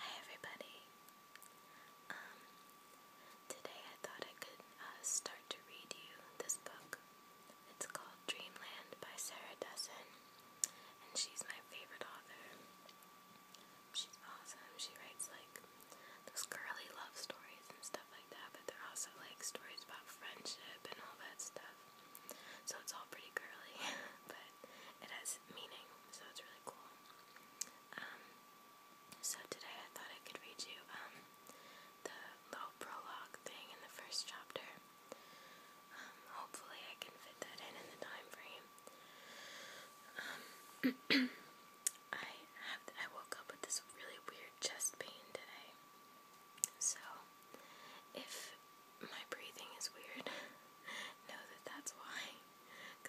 Hi everybody. Um, today I thought I could uh, start to read you this book. It's called Dreamland by Sarah Dessen, and she's my favorite author. She's awesome. She writes like those girly love stories and stuff like that, but they're also like stories about friendship and all that stuff. So it's all pretty girly, but it has meaning, so it's really cool. Um, so today I thought I could read you um, the little prologue thing in the first chapter. Um, hopefully I can fit that in in the time frame. I have I woke up with this really weird chest pain today. So, if my breathing is weird. know that that's why.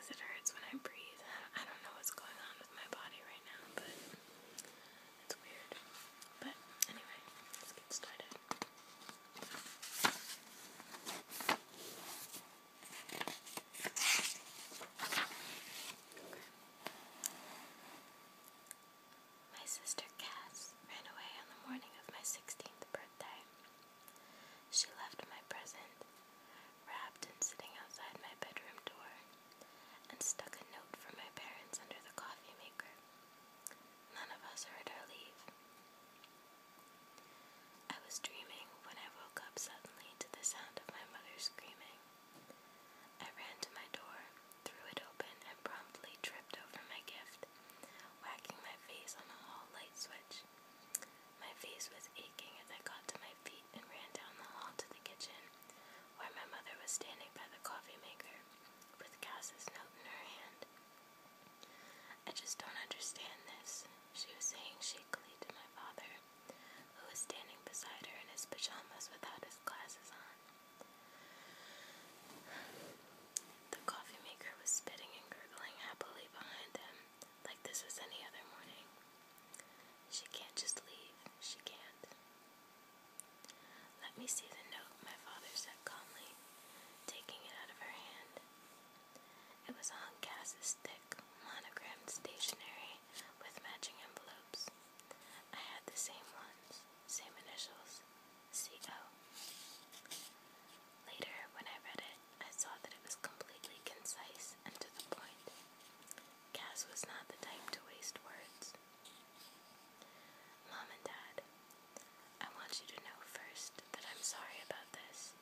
it hurts when I breathe. I don't know what's going on with my body right now, but it's weird. But anyway, let's get started. My sister Cass ran away on the morning of my 16th birthday. She left my present, wrapped and sitting outside my bedroom door, and stuck a note from my parents under the coffee maker. None of us heard her leave. I was dreaming when I woke up suddenly to the sound of my mother screaming. I ran to my door, threw it open, and promptly tripped over my gift, whacking my face on a hall light switch. My face was aching as I got to my feet and ran down the hall to the kitchen, where my mother was standing by the coffee maker with Cass's note in her hand. I just don't understand this, she was saying shakily to my father, who was standing beside her in his pajamas without his glasses on. The coffee maker was spitting and gurgling happily behind them, like this was any other morning. She can't just leave, she can't. Let me see the note, my father said calmly, taking it out of her hand. It was on Cass's thick, monogrammed stationery with matching envelopes. I had the same ones, same initials, CO. Later, when I read it, I saw that it was completely concise and to the point. Cass was not the type to waste words. Mom and Dad, I want you to know first that I'm sorry about this.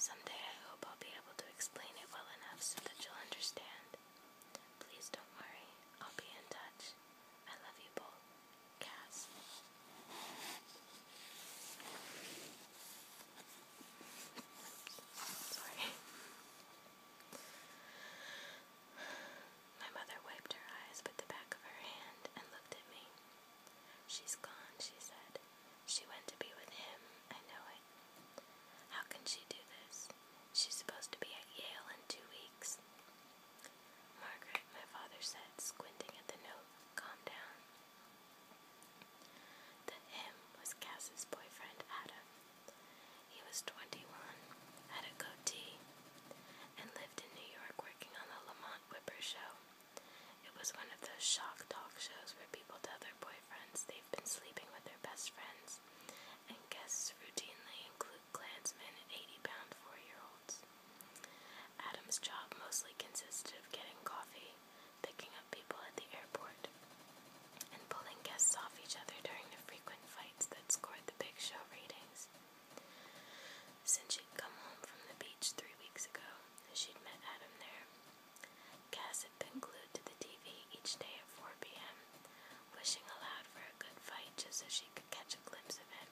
Someday I hope I'll be able to explain it well enough so that you'll understand. Please don't worry, I'll be in touch. I love you both. My mother wiped her eyes with the back of her hand and looked at me. She's gone, she said. She went to be with him. I know it. How can she do this? She's supposed to be at Yale in two weeks. Margaret, my father said, squinting at the note, calm down. The him was Cass's boyfriend, Adam. He was 21, had a goatee, and lived in New York working on the Lamont Whipper show. It was one of those shock talk shows where people tell their boyfriends they've been sleeping with their best friends, and guests routinely include Klansmen and 80 pound four year olds phones. Adam's job mostly consisted of getting coffee, picking up people at the airport, and pulling guests off each other during the frequent fights that scored the big show ratings. Since she'd come home from the beach three weeks ago, she'd met Adam there. Cass had been glued to the TV each day at 4 p.m., wishing aloud for a good fight just so she could catch a glimpse of it.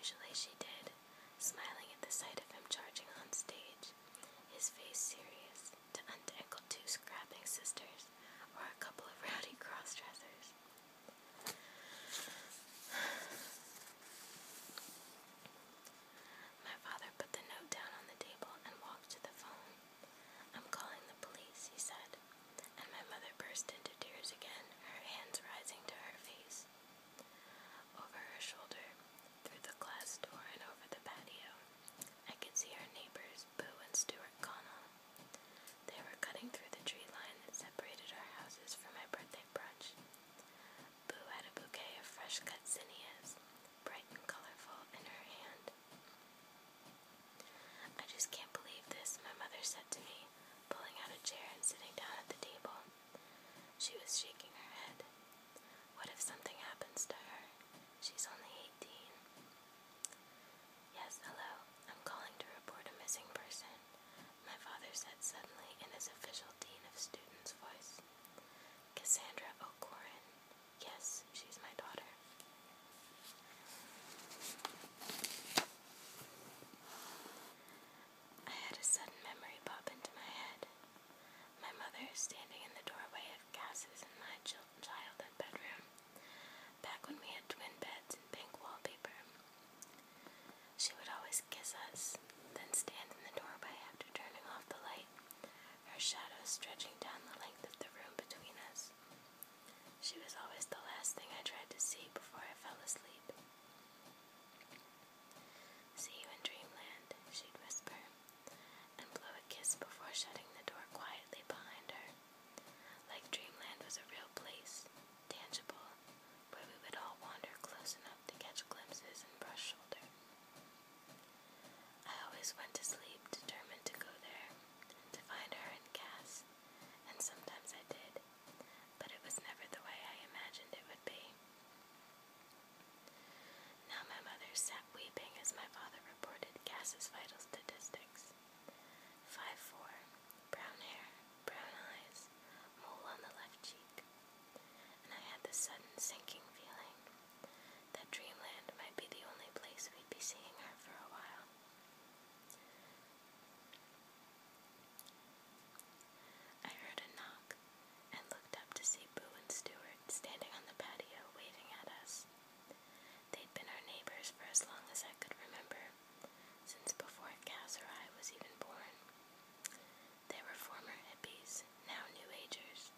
Usually she did, smiling at the sight of him charging on stage, his face serious, to untangle two scrapping sisters or a couple of rowdy cross-dressers. My father put the note down on the table and walked to the phone. I'm calling the police, he said and my mother burst into tears again, her hands rising to her face. Over her shoulder, through the glass door and over the patio, I could see our neighbors, Boo and Stuart Connell. They were cutting through the tree line that separated our houses for my birthday brunch. Boo had a bouquet of fresh cut zinnias, bright and colorful, in her hand. I just can't believe this, my mother said to me, pulling out a chair and sitting down at the table. She was shaking her head. What if something happens to her? She's only 18. Yes, hello. I'm calling to report a missing person, my father said suddenly in his official Dean of Students voice. Cassandra O'Corin. Yes, she's my daughter. I had a sudden memory pop into my head. My mother standing in the doorway of Cass's and my childhood bedroom, back when we had twin beds and pink wallpaper. She would always kiss us, then stand in the doorway after turning off the light, her shadow stretching down the length of the room between us. She was always the last thing I tried to see before I fell asleep. See you in dreamland, she'd whisper, and blow a kiss before shutting the door quietly behind her. Like dreamland was a real place, tangible, where we would all wander close enough to catch glimpses and brush shoulder. I always went to sleep determined to go there, to find her and Cass, and sometimes I did, but it was never the way I imagined it would be. Now my mother sat weeping as my father reported Cass's vital statistics. Five four, brown hair, brown eyes, mole on the left cheek. And I had this sudden sinking feeling that dreamland might be the only place we'd be seeing her for a while. I heard a knock and looked up to see Boo and Stuart standing on the patio waving at us. They'd been our neighbors for as long as I could remember, since before I was even born. They were former hippies, now New Agers.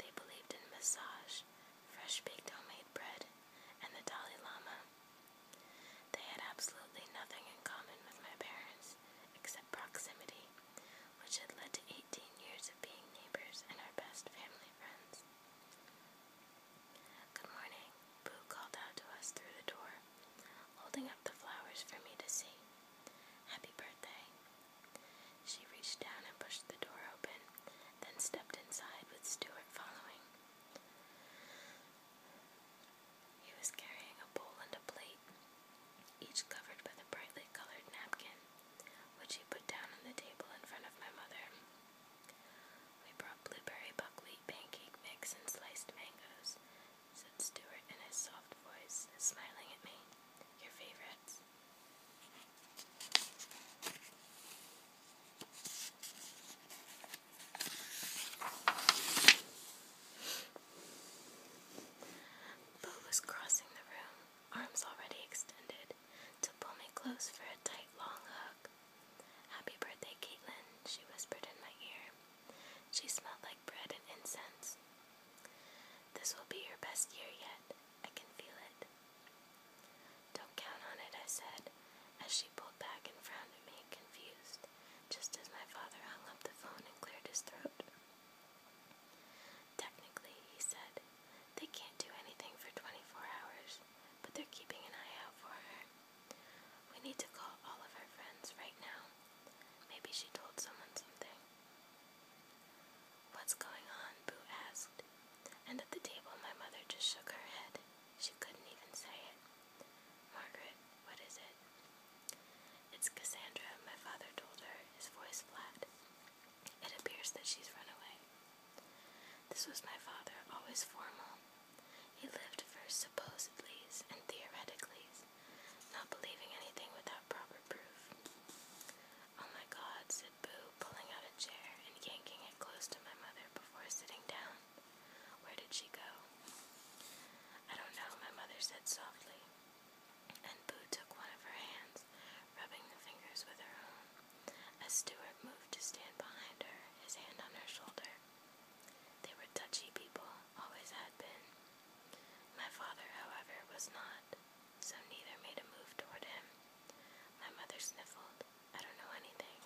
They believed in massage fresh baked homemade bread, and the Dalai Lama. They had absolutely nothing in common with my parents except proximity, which had led to 18 years of being neighbors and our best family friends. Good morning, Boo called out to us through the door, holding up the flowers for me to see. Happy birthday. She reached down and pushed the door open, then stepped inside with Stuart following. He was carrying a bowl and a plate, each covered by a brightly colored napkin, which he put down on the table in front of my mother. We brought blueberry buckwheat pancake mix and sliced mangoes," said Stuart in his soft voice, smiling at me. Your favorites. Bo was crossing the room, arms already extended, to pull me close for a tight, long hug. Happy birthday, Caitlin, she whispered in my ear. She smelled like bread and incense. This will be your best year yet, I can feel it. Don't count on it, I said, as she pulled back and frowned at me, confused, just as my father hung up the phone and cleared his throat. Technically, he said, they can't do anything for 24 hours, but they're keeping an eye out for her. We need to call all of her friends right now. Maybe she told someone something. What's going on? Boo asked. And at the table, my mother just shook her head. She couldn't even say it. Margaret, what is it? It's Cassandra, my father told her, his voice flat. It appears that she's run away. This was my father, always formal. He lived first supposedlies and theoreticallys, not believing anything without proper proof. Oh my god, Boo, pulling out a chair and yanking it close to my mother before sitting down. Where did she go? I don't know, my mother said softly. And Boo took one of her hands, rubbing the fingers with her own. As Stuart moved to stand behind her, his hand on her shoulder. They were touchy people, always had been. My father, however, was not, so neither made a move toward him. My mother sniffled, I don't know anything.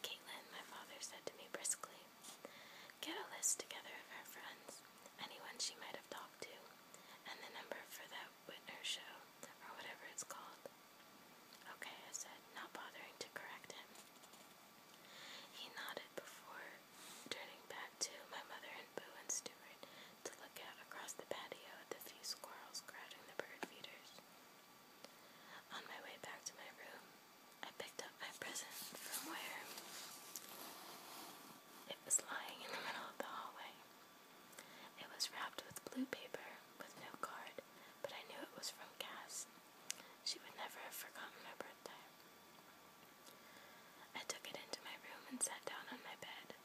Caitlin, my father said to me briskly, Get a list together of her friends, anyone she might have talked to, and the number for that Whitner show, or whatever it's called. Okay, I said, not bothering to correct him. He nodded before turning back to my mother and Boo and Stuart to look out across the patio at the few squirrels crowding the bird feeders. On my way back to my room, I picked up my present from where it was lying in the middle of the hallway. It was wrapped with blue paper with no card, but I knew it was from Cass. She would never have forgotten my birthday. I took it into my room and sat down on my bed,